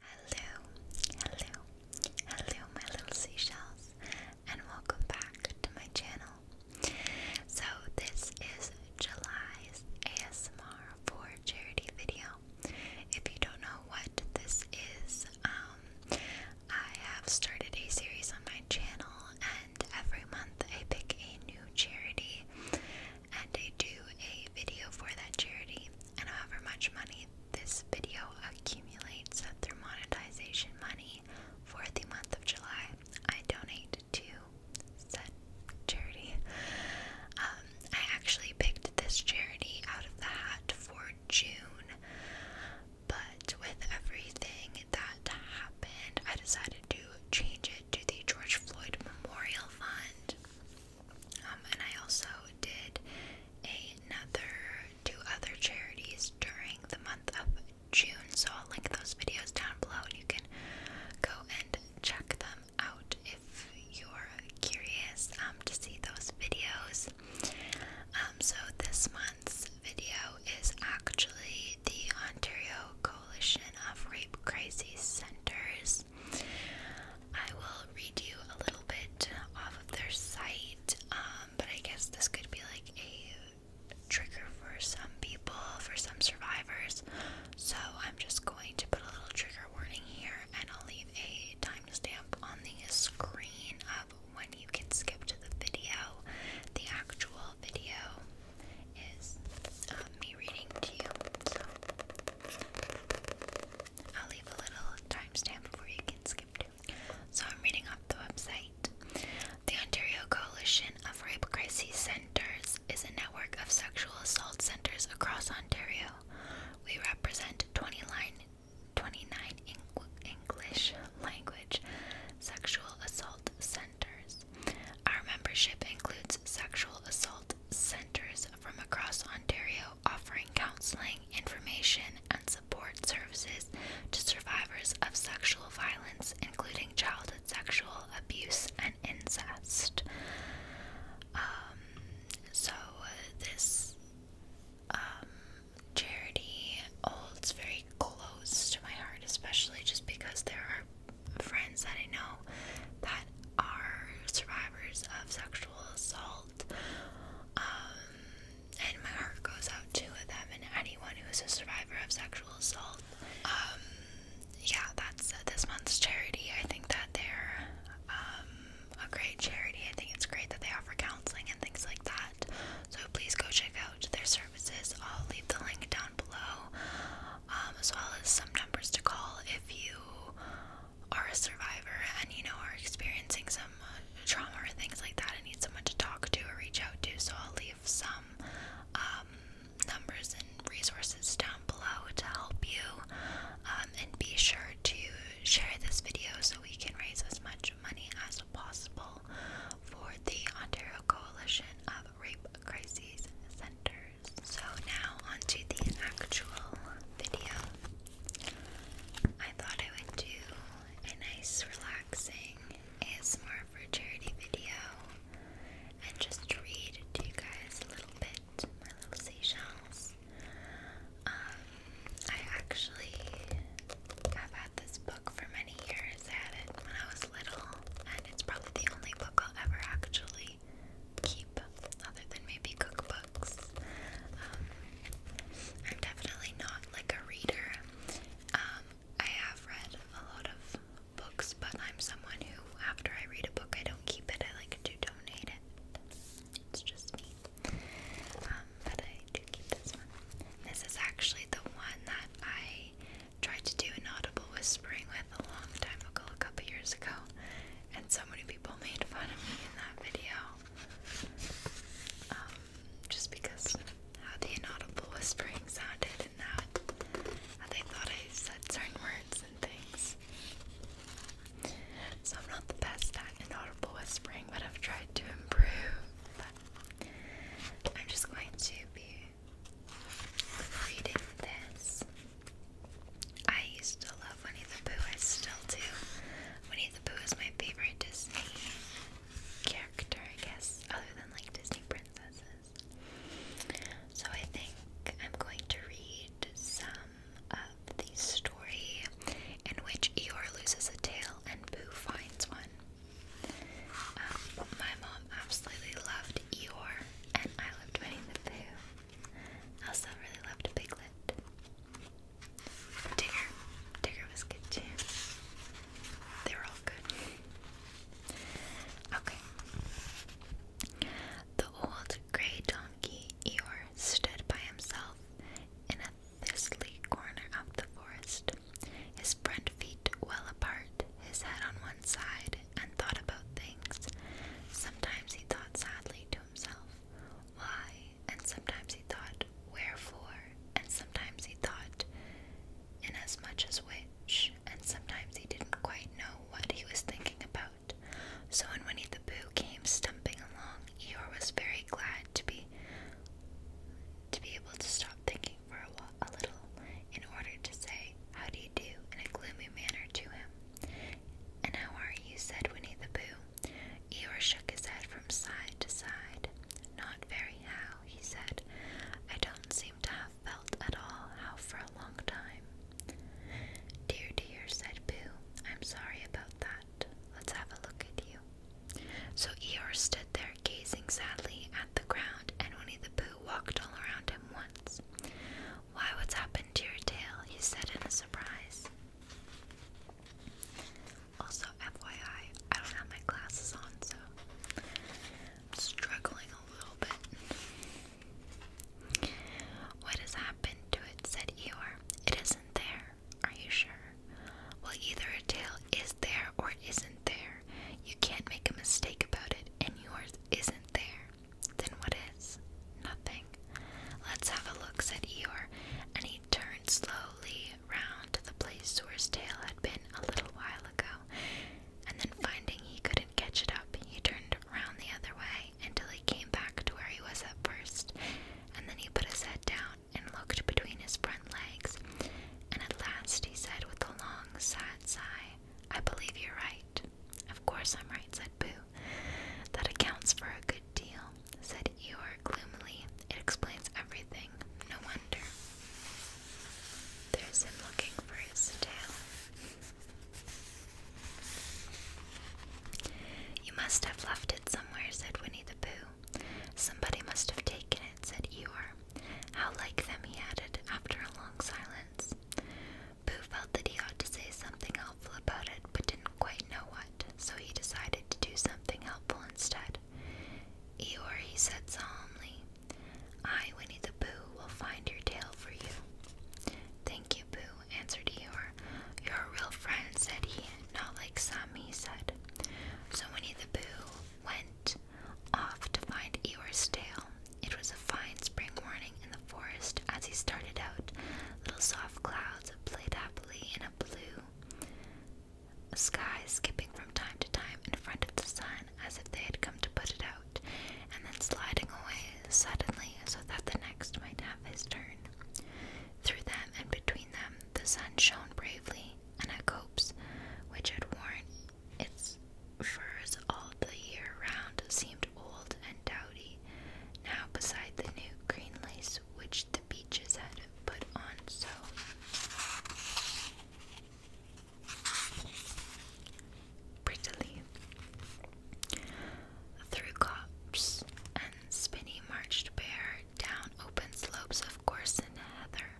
Hello, hello, hello, my little seashells, and welcome back to my channel. So, this is July's ASMR for charity video. If you don't know what this is, um, I have started a series on my channel, and every month I pick a new charity and I do a video for that charity. And however much money this video accumulates through monetization money for the month of July, I donate to that charity. Um, I actually picked this charity out of the hat for June, but with everything that happened, I decided to change it to the George Floyd Memorial Fund. Um, and I also did another two other charities during the month of June, so I'll link those videos down below and you can go and check them out if you're curious um, to see those videos. Um, so this month's video is actually the Ontario Coalition of Rape Crisis Centers. I will read you a little bit off of their site, um, but I guess this could be like a trigger for some people, for some survivors. So I'm just going to put a little trigger warning here, and I'll leave a timestamp on the screen of when you can skip to the video. The actual video is um, me reading to you. So I'll leave a little timestamp before you can skip So I'm reading off the website. The Ontario Coalition of Rape Crisis Centres is a network of sexual assault centres across Ontario. We represent 29, 29 English language sexual assault centres. Our membership includes sexual assault centers from across Ontario offering counseling, information, and support services to survivors of sexual violence, including childhood sexual abuse and incest. Um, so, uh, this um, charity holds very close to my heart, especially just because there are friends that I know that are survivors of sexual assault. Um, and my heart goes out to them and anyone who is a survivor of sexual assault. Um, yeah, that's uh, this month's charity. I think that they're um, a great charity. I think it's great that they offer counseling and things like that. So please go check out their services. I'll leave the link down below, um, as well as some numbers to call if you you are a survivor and you know are experiencing some uh, trauma or things like that and need someone to talk to or reach out to, so I'll leave some um, numbers and resources down below to help you. Um, and be sure to share this video so we can raise as much money as possible for the Ontario Coalition of Rape Crises Centre. So now onto the actual video. I thought I would do a nice relaxing ASMR for charity video and just read to you guys a little bit my little seashells. Um, I actually have had this book for many years. I had it when I was little, and it's probably the only book I'll ever actually I keep, other than maybe cookbooks. Um, I'm definitely not like a reader. Um, I have read a lot of books, but I'm someone who, after I read a book, I don't keep it. I like to donate it. It's just me. Um, but I do keep this one. This is actually the one that I tried to do inaudible whispering with a long time ago, a couple years ago, and so many people made fun of me in that video. Um, just because how the inaudible whispering sounded and how, they thought I said certain words and things. So I'm not the best at inaudible whispering, but I've tried to improve. I'm just going to be reading this. I used to love Winnie the Pooh, I still do. Winnie the Pooh is my favorite Disney character, I guess, other than like Disney princesses. So I think I'm going to read some of the story in which Eeyore loses a tail and Pooh finds one. Um, my mom absolutely loved Eeyore and I loved Winnie the Pooh. I also really loved Piglet. Digger. Digger was good too. They were all good. Okay. The old grey donkey Eeyore stood by himself in a thistly corner of the forest, his front feet well apart, his head on one and thought about things. Sometimes he thought sadly to himself, why? And sometimes he thought, wherefore? And sometimes he thought, inasmuch as which? And sometimes he didn't quite know what he was thinking about. So when Winnie the Pooh came stumping along, Eeyore was very glad to be to be able to stop thinking for a little in order to say, How do you do? in a gloomy manner to him. And how are you? said Winnie the Pooh. Eeyore shook his head from side to side. Not very how, he said. I don't seem to have felt at all how for a long time. Dear, dear, said Pooh, I'm sorry about that. Let's have a look at you. So Eeyore stood there gazing sadly at the ground, and Winnie the Pooh walked all around him once. Why, what's happened to your tail? he said in a surprise. Also, FYI, I don't have my glasses on, so I'm struggling a little bit. What has happened to it? said Eeyore. It isn't there. Are you sure? Well, either a tail is there or it isn't there, you can't make a mistake about it, and yours isn't there, then what is? Nothing. Let's have a look, said Eeyore, and he turned slowly round to the place where his tail had been a little while ago, and then finding he couldn't catch it up, he turned round the other way until he came back to where he was at first, and then he put his head down and looked between his front legs, and at last he said with a long, sad sigh, I believe you're right. Of course I'm right, said Boo. That accounts for a good deal, said Eeyore gloomily. It explains everything. No wonder. There's him looking for his tail. You must have left it somewhere, said Winnie the Pooh. Somebody must have taken it, said Eeyore. How like them, he added, after a long silence. Boo felt that he ought to say something helpful about it, but didn't quite know what, so he decided to do something helpful instead. Eeyore, he said solemnly, I, Winnie the Pooh, will find your tail for you. Thank you, Pooh, answered Eeyore. You're a real friend, said he, not like some, he said. So Winnie the Pooh went off to find Eeyore's tail. It was a fine spring morning in the forest as he started out. Little soft clouds played happily in a blue sky, skipping from time to time in front of the sun as if they had come to put it out, and then sliding away suddenly so that the next might have his turn. Through them and between them the sun shone bravely, and a copse which had worn its furs all the year round seemed old and dowdy, now beside the new green lace which the beeches had put on so. Prettily. Through copse and spinney marched bare, down open slopes of gorse and heather,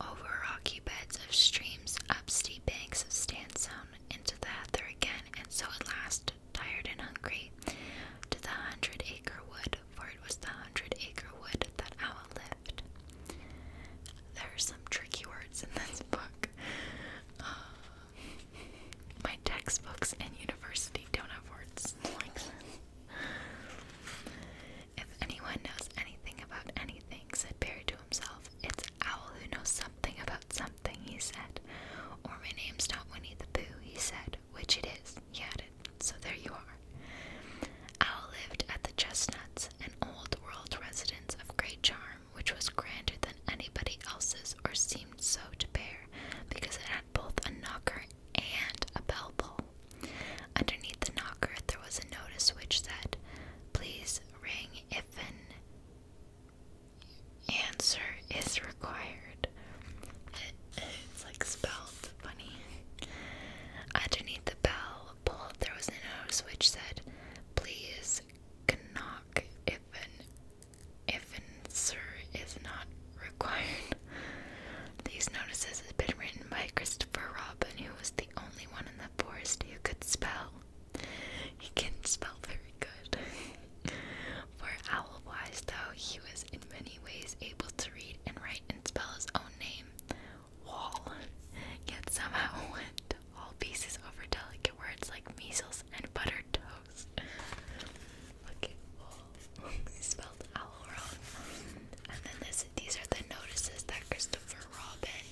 over rocky beds of streams, up steep banks of sandstone, into the heather again, and so at last, tired and hungry, to the hundred acre wood, for it was the hundred acre wood that Owl lived. There are some tricky words in this book. Uh, my textbooks and university don't have words if anyone knows anything about anything, said Perry to himself, it's Owl who knows something about something, he said. Or my name's not Winnie the Pooh, he said, which it is, he added. So there you are. Owl lived at the Chestnuts, an old world residence of great charm, which was grander than anybody else's, or seemed so to Bear, because it had both a knocker and a bell pull. Underneath the knocker, there was a notice which said, Please ring if an answer is required. It's like spelled funny. Underneath the bell pull, there was a notice which said, Please knock if an if an answer is not required. These notices had been written by Christopher Robin, who was the only one in the forest who could spell. He couldn't spell very good. For Owlwise, though, he was in many ways able to read and write and spell his own name, Wall, yet somehow went all pieces over delicate words like measles and buttered toast. Look Wall. spelled owl and then this, these are the notices that Christopher Robin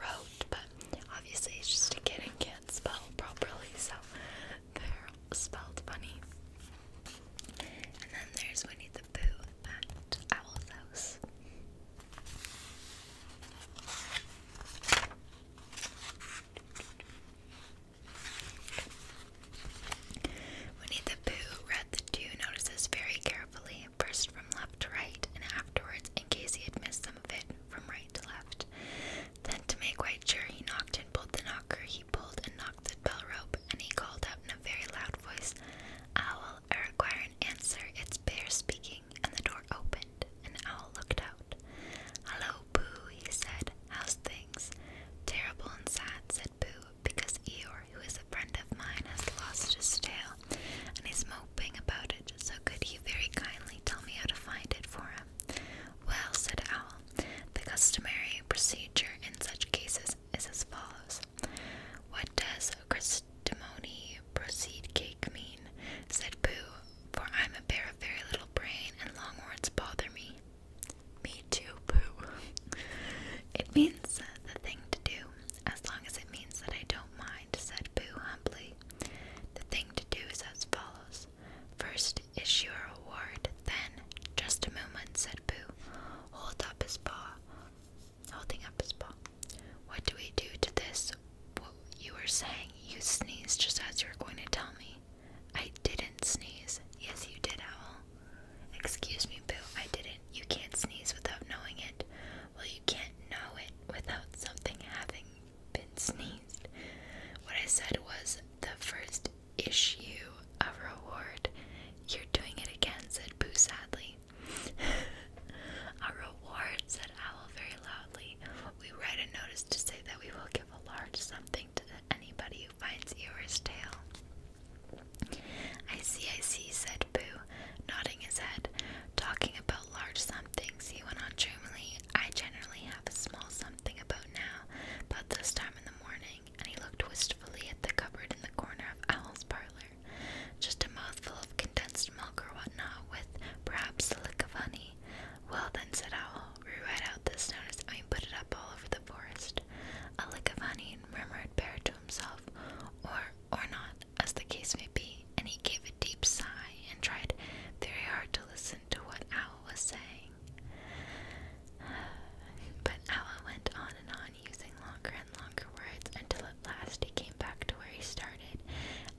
wrote, but obviously he's just a kid and can't spell properly, so they're spelled funny. And then there's Winnie the Pooh at Owl's house. Winnie the Pooh read the two notices very carefully play, first from left to right, and afterwards, in case he had missed some of it, from right to left. Then, to make quite sure, he knocked and pulled the knocker, he pulled and knocked the bell rope, and he called out in a very loud voice, Owl, I require an answer, it's Bear speaking, and the door opened, and Owl looked out. Hello, Boo, he said, how's things? Terrible and sad, said Boo, because Eeyore, who is a friend of mine, has lost his tail and is moping about it, so could you very kindly tell me how to find it for him? Well, said Owl, the customary procedure in such cases is as follows. What does Christimony proceed cake mean? said Pooh, for I'm a bear of very little brain and long words bother me. Me to poo. It means the thing to do, as long as it means that I don't mind, said Pooh humbly. The thing to do is as follows. First issue a reward, then, just a moment, said Pooh, hold up his paw, holding up his paw. What do we do to this? What you were saying, you sneezed just as you were going to tell me. I didn't sneeze. Yes, you did, Owl. Excuse me, Boo, I didn't. You can't sneeze without knowing it. Well, you can't know it without something having been sneezed. What I said was the first issue of reward. You're doing it again, said Boo sadly. a reward, said Owl very loudly. We write a notice to say that we will give a large something to anybody who finds Eeyore's tail. I see, I see, said Boo, nodding his head. Talking about large sum things, he went on dreamily. I generally have a small something about now, but this time in the morning, and he looked wistfully at the cupboard in the corner of Owl's parlor. Just a mouthful of condensed milk or whatnot, with perhaps a lick of honey. Well then, said Owl, we write out this notice and put it up all over the forest head. Alikavanin murmured prayer to himself, or or not, as the case may be, and he gave a deep sigh and tried very hard to listen to what Owl was saying. But Owl went on and on, using longer and longer words, until at last he came back to where he started,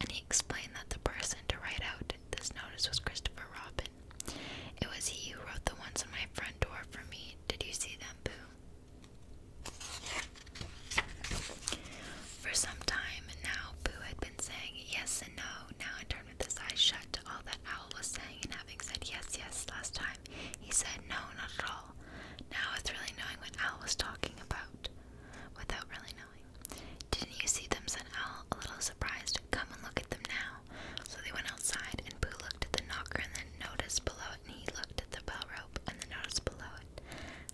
and he explained that the person to write out this notice was Christopher Robin. It was he who wrote the ones on my front door for me did you see them, Boo? For some time now, Boo had been saying yes and no. Now, in with his eyes shut all that Owl was saying, and having said yes, yes last time, he said no, not at all. Now, it's really knowing what Owl was talking about without really knowing. Didn't you see them? said Owl, a little surprised. Come and look at them now now. So they went outside, and Pooh looked at the knocker and then noticed below it, and he looked at the bell rope and then noticed below it.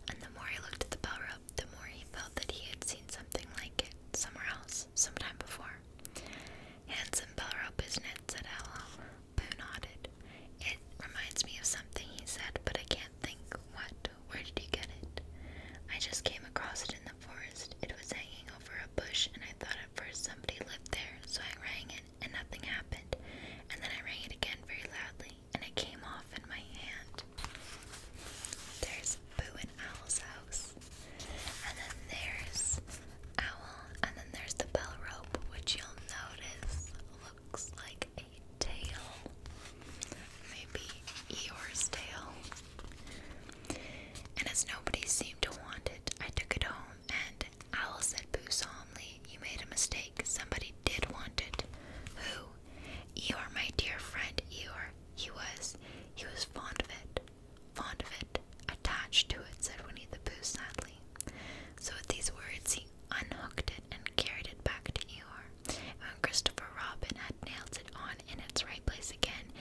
And the more he looked at the bell rope, the more he felt that he had seen something like it somewhere else, sometime before. Handsome bell rope, isn't it? said Owl. Pooh nodded. It reminds me of something, he said, but I can't think what. Where did you get it? I just came across it in the forest. It was hanging over a bush and I thought at first somebody lived there, so I rang it and nothing happened. And then I rang it again very loudly and it came off in my hand. There's Boo and Owl's house. And then there's Owl. And then there's the bell rope, which you'll notice looks like a tail. Maybe Eeyore's tail. And as nobody seemed to want it, I took it home and Owl said Boo solemnly, You made a mistake. Somebody did want it. Who? Eeyore, my dear friend Eeyore. He was. He was fond of it. Fond of it. Attached to it, said Winnie the Pooh sadly. So with these words, he unhooked it and carried it back to Eeyore. And when Christopher Robin had nailed it on in its right place again,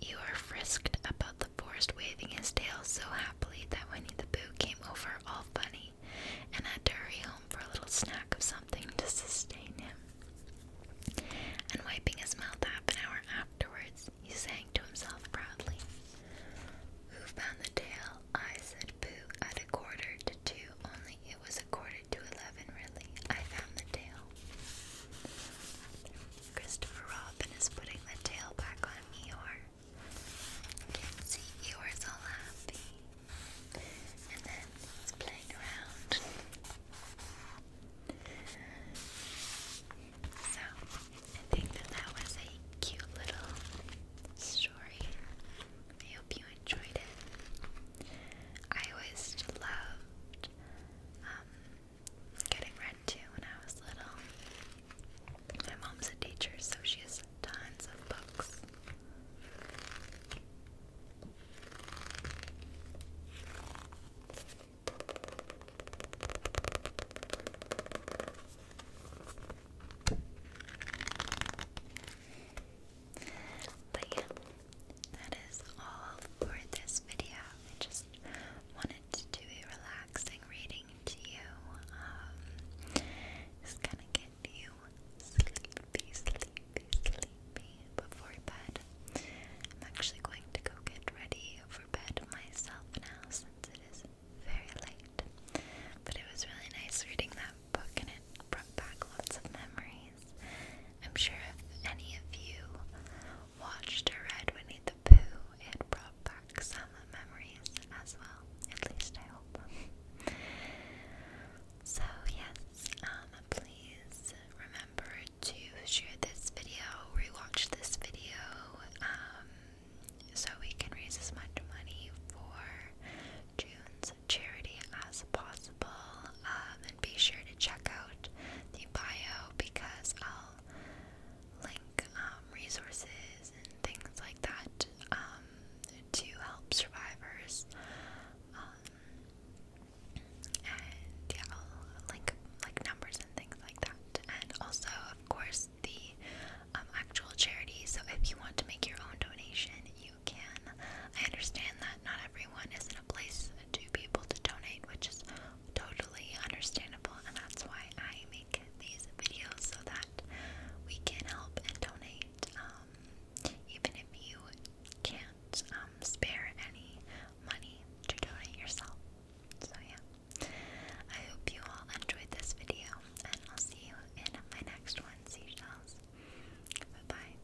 you Eeyore frisked about the forest waving his tail so happily that Winnie the Pooh came over all funny and had to hurry home for a little snack of something to sustain him. And wiping his mouth half an hour afterwards, he sang to himself proudly. Who found the tail? I said Pooh at a quarter to two, only it was a quarter to eleven really. I found the tail. Christopher Robin is putting the tail back on Eeyore. You can see happy. And then he's playing around. So, I think that that was a cute little story. I hope you enjoyed it. I always loved um, getting read too when I was little. My mom's a teacher, so she has tons of books. But yeah, that is all for this video. I just wanted it to be relaxing reading to you. Um, it's gonna get you sleepy, sleepy, sleepy before bed. I'm actually going to go get ready for bed myself now since it is very late. But it was really nice reading that book and it brought back lots of memories. I'm sure if any of you watched her red Winnie the Pooh, it brought back some memories as well. At least I hope. so yes, um, please remember to share this video, rewatch this video, um, so we can raise as much money for June's charity as possible. Um, and be sure to check out the bio because I'll link um, resources and things like that um, to help survivors. Um, and yeah, link like numbers and things like that. And also, of course, the actual charity. So if you want to make your own donation, you can. I understand that not everyone is in a place to be able to donate, which is totally understandable, and that's why I make these videos so that we can help and donate. Um, even if you can't um, spare any money to donate yourself. So, yeah. I hope you all enjoyed this video, and I'll see you in my next one, Seashells. Bye bye.